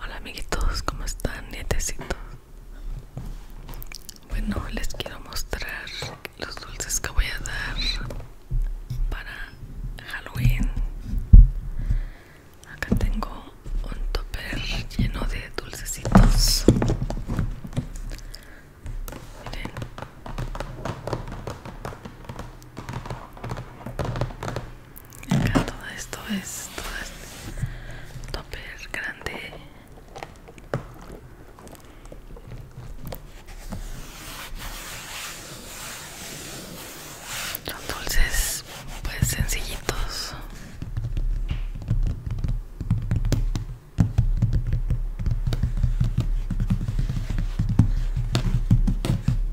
Hola amiguitos, ¿cómo están nietecitos? Bueno, les quiero mostrar los dulces que voy a dar para Halloween. Acá tengo un topper lleno de dulcecitos. Miren. Acá todo esto es todo este tope grande. Los dulces pues sencillitos.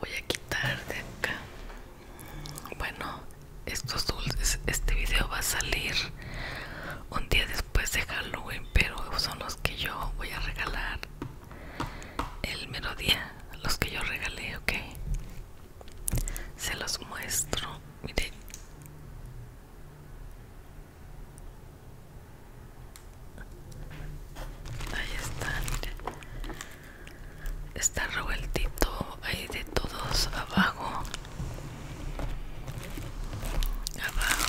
Voy a quitar de acá bueno, estos dulces, este video va a salir un día después de Halloween, pero son los que yo voy a regalar el mero los que yo regalé, ok. Se los muestro, miren. Ahí están, miren está revueltito ahí de todos abajo abajo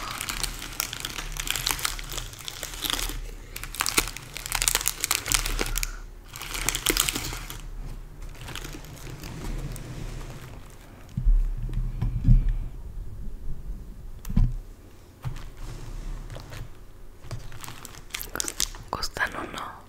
Costan uno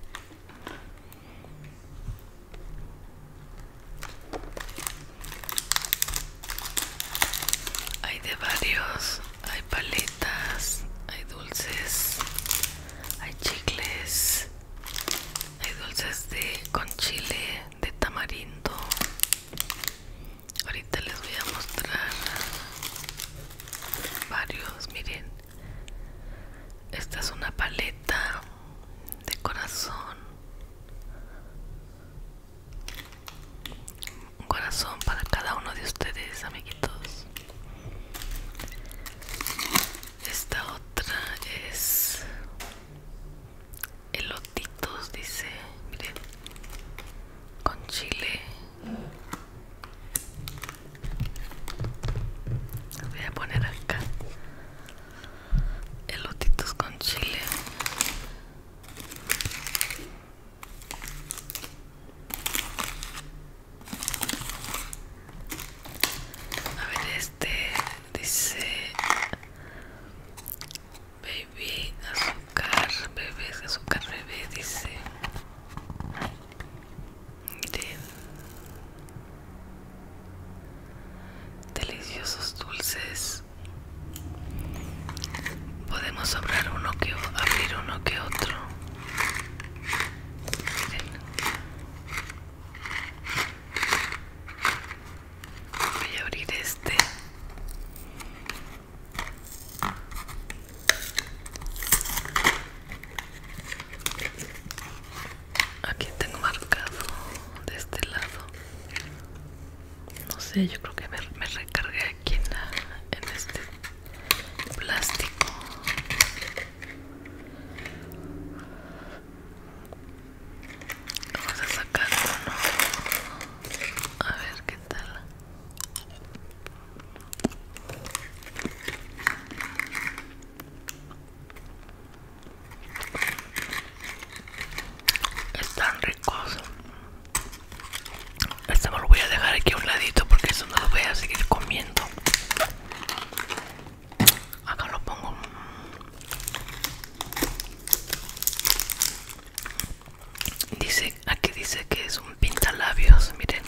hay de varios, hay paletas, hay dulces, hay chicles, hay dulces de con chile, de tamarindo. Ahorita les voy a mostrar varios, miren. Esta es una paleta de corazón. Un corazón para cada uno de ustedes, amiguitos. Esta otra es elotitos, dice, con chile voy a poner acá elotitos con chile. A ver, este dice baby azúcar, bebé azúcar, bebé dice deliciosos dulces podemos abrir uno que abrir uno que otro voy a abrir este Aquí tengo marcado de este lado. No sé, yo creo que me, recargué aquí en, este plástico. Vamos a sacarlo ¿no? A ver qué tal. Están ricos. Este me lo voy a dejar aquí a un ladito porque eso no lo voy a seguir comiendo. Acá lo pongo. Dice, aquí dice que es un pintalabios, miren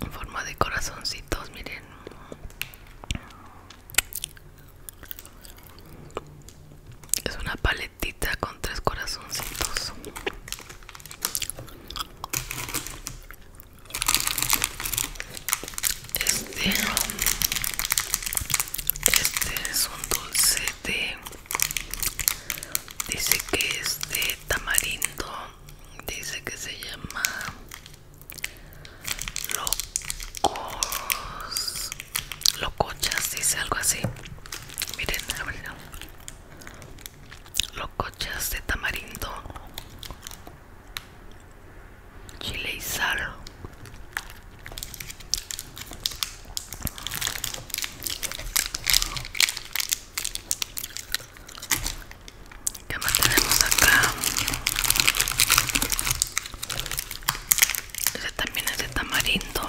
en forma de corazoncitos miren es una paletita con tres corazoncitos este, este es un dulce de dice que es de tamarindo dice que se llama locos locochas dice algo así miren locochas de tamarindo chile y sal ¿Qué más tenemos acá? Ese también es de tamarindo.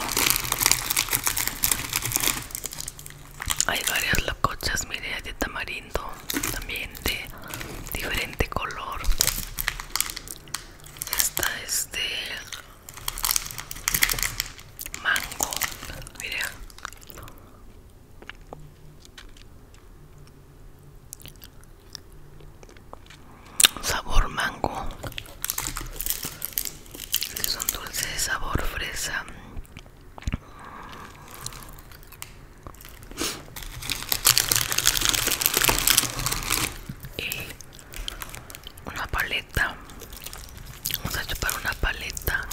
Hay varias locochas, mire, de tamarindo, también de diferente color. Esta es de mango. Sabor mango. Es un dulce de sabor fresa y una paleta vamos a chupar una paleta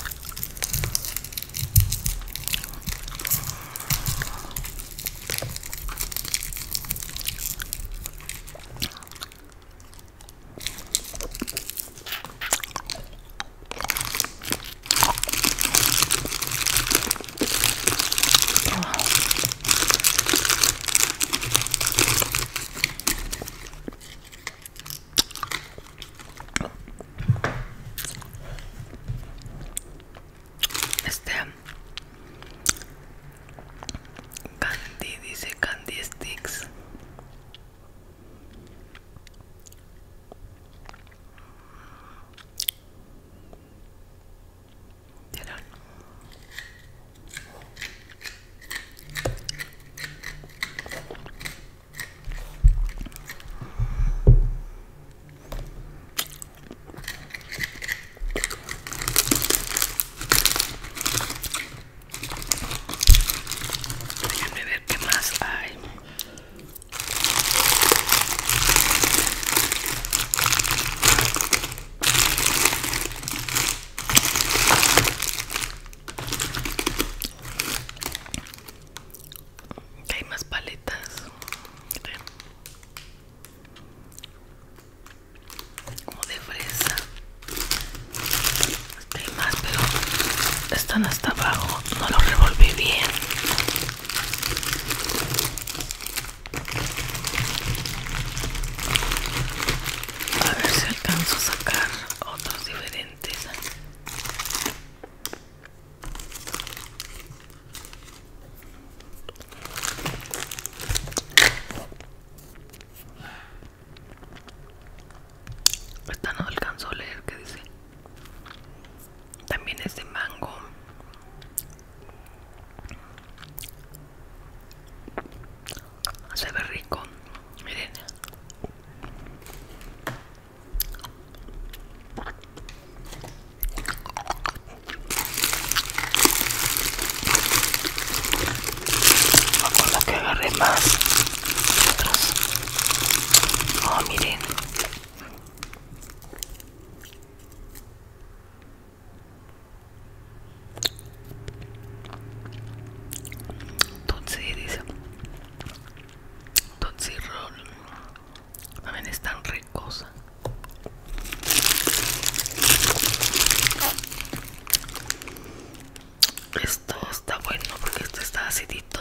este candy dice candy sticks ¿Vieron? Déjenme ver qué más hay. Hay más paletas. Como de fresa. Hay más, pero están hasta abajo. No lo revolví bien. A ver si alcanzo a sacar otros diferentes. Esta no alcanzó a leer que dice también es de mango. Se ve rico. Miren. Con la que agarré más otros. Oh, miren. Tutsi dice Roll también están ricos esto está bueno porque esto está acidito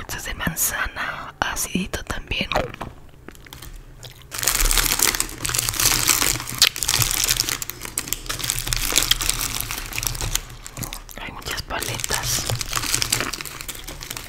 Esto de manzana, acidito también. Hay muchas paletas. Un,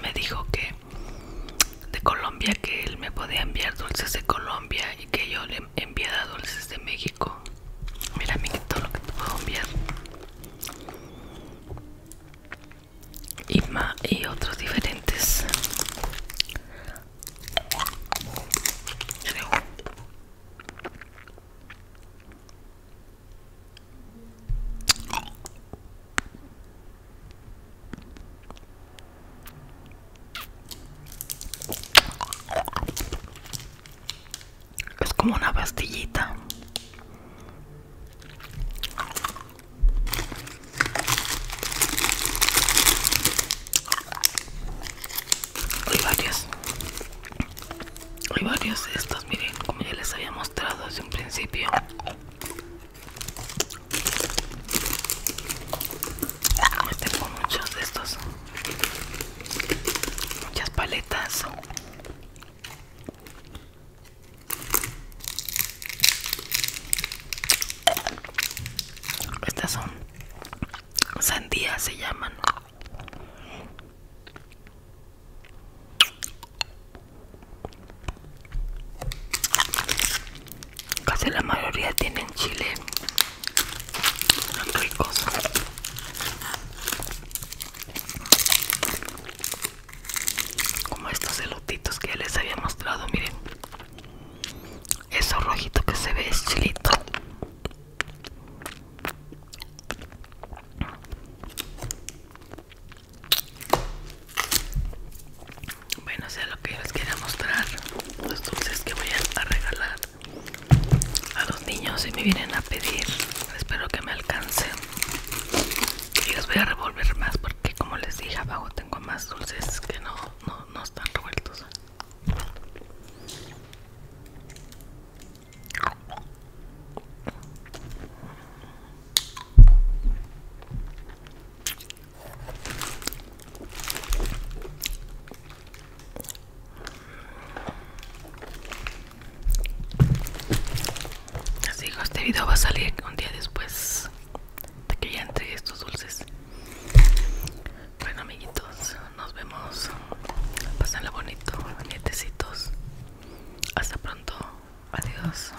me dijo que de Colombia que él me podía enviar dulces de Colombia y que yo le enviara dulces de México Mira, mira todo lo que te puedo enviar. Y, más, y otros diferentes es como una pastillita hay varios hay varios de estos, miren como ya les había mostrado desde un principio ah, me tengo muchos de estos muchas paletas estas son sandías se llaman casi la mayoría tienen chile son ricos. Como estos elotitos que ya les había mostrado, miren. Eso rojito que se ve es chilito. Bueno, sea lo que yo les quiera mostrar, los dulces que voy a regalar a los niños si me vienen a pedir espero que me alcance y les voy a revolver más porque como les dije abajo tengo más dulces que no, no, no están revueltos Así que este video va a salir un día después de que ya entre estos dulces. Bueno, amiguitos, nos vemos. Pásenlo bonito, nietecitos. Hasta pronto. Adiós.